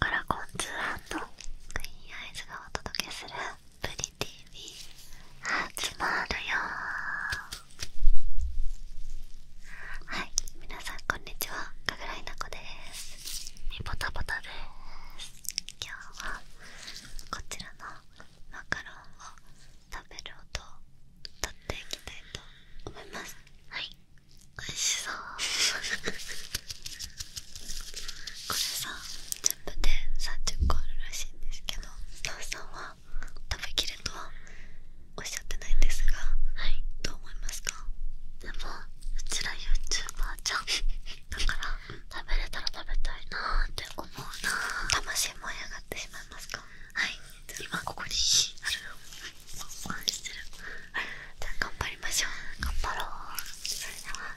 カラコンツークイーンアイズがお届けする「プリ TV」始まるよはい皆さんこんにちはかぐらいなこですみぼたぼたです今日はこちらのマカロンを食べる音を撮っていきたいと思いますはいおいしそうこれさ全部で30個あるらしいんですけどお父さんは食べきれとはおっしゃってないんですがはいどう思いますかでもうちら YouTuber じゃんだから食べれたら食べたいなーって思うな魂燃え上がってしまいますかはい今ここにじゃあ頑張りましょう頑張ろうそれでは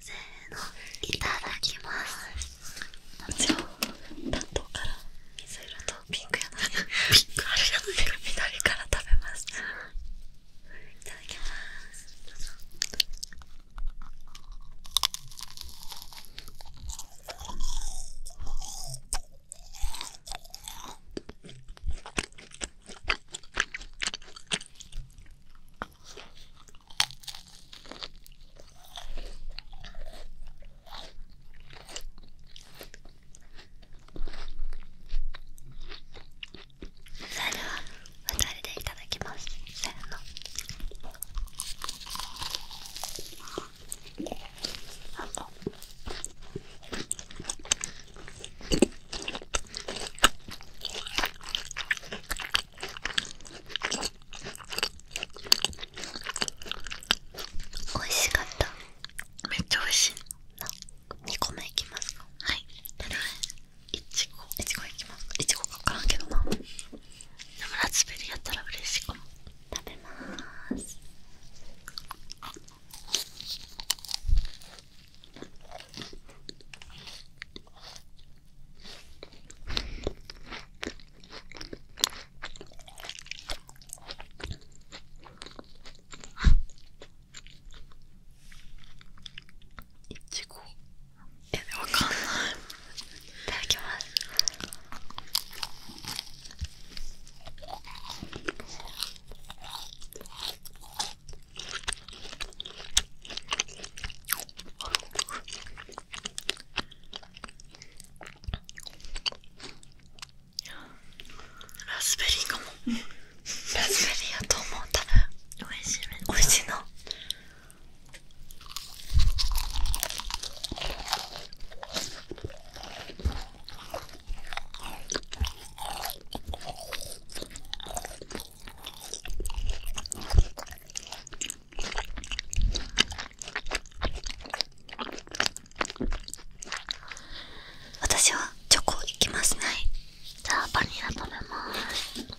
せーのいただきますもちろん担当から水色とピンクやなピンクあるじゃないか緑から食べますいただきますどうぞうんそれでは2人でいただきますせーの。美味しかっためっちゃ美味しい2個目いきますはいいちごいちごいきからんけどなでラズベリーやったら嬉しいかも食べますいちごえわかんないいただきますラズベリーかもラズベリーやと思う多分美味しいめっ美味しいな私はチョコいきますねじゃあバニラ食べます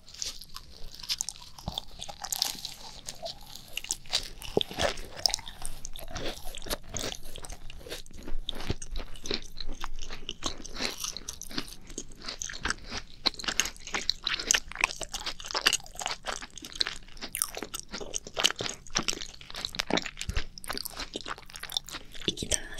息止めます。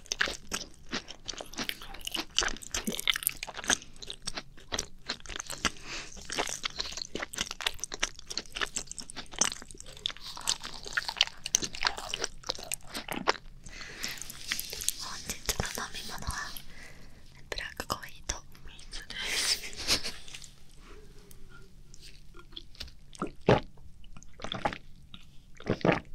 本日の飲み物はブラックコーヒーと水です。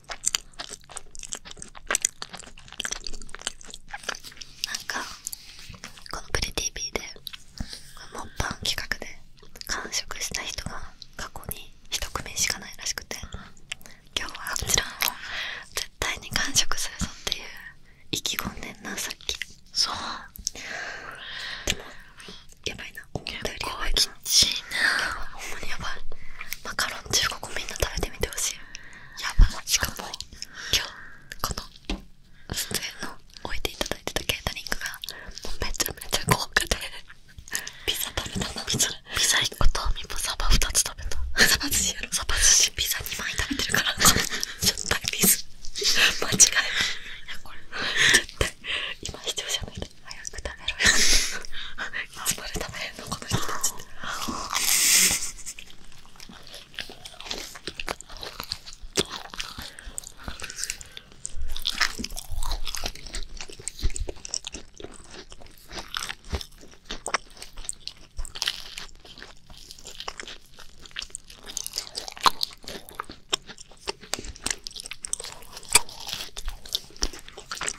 なんかこの「プリ TV で」でモンパン企画で完食した人が過去に1組しかないらしくて今日はこちらを絶対に完食するぞっていう意気込んでんなさっきそうでもやばいな思っよりやばいな結構きっちいなほんまにやばいマカロン15個みんな食べてみてほしい。ですよやしかも今日この出演の置いていただいてたケータリングがもめちゃめちゃ豪華でピザ食べたのピザピザ1個とミポサバ2つ食べたサバ寿司やろサバ寿司ピザ2枚食べてるからちょっとピ間違えないやこれ絶対今視聴者の人早く食べろよつまで食べれるのこの人たち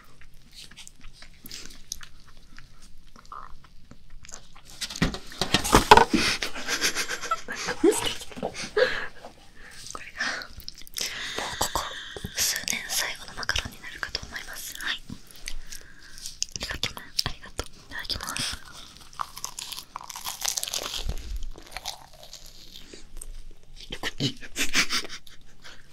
これがもうここ数年最後のマカロンになるかと思いますはいいただきます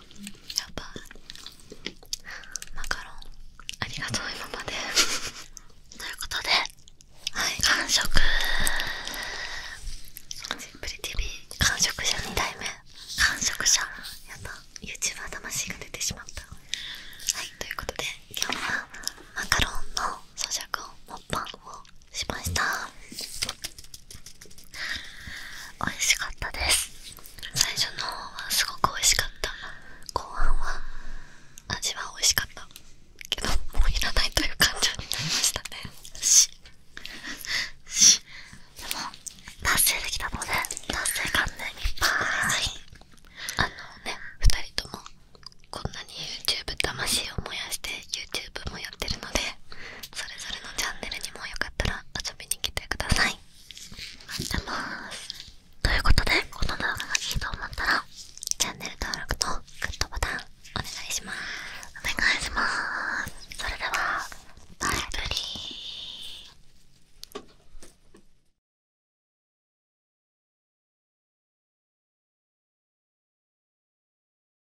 やばいマカロンありがとう今までということではい完食プリ tv。完食者2代目完食者やった YouTuber 魂が出てしまったはいということで今日はマカロンの咀嚼音もっぱんをしました美味しかったです最初の方はすごく美味しかった後半は味は美味しかったけどもういらないという感情になりましたねでも達成できたので達成感ねいっぱいあのね2人ともこんなに YouTube 魂を燃やして YouTube もやってるのでそれぞれのチャンネルにもよかったら遊びに来てください待ってますということでこの動画がいいと思ったらチャンネル登録とグッドボタンお願いしますお願いしますそれではバイブリー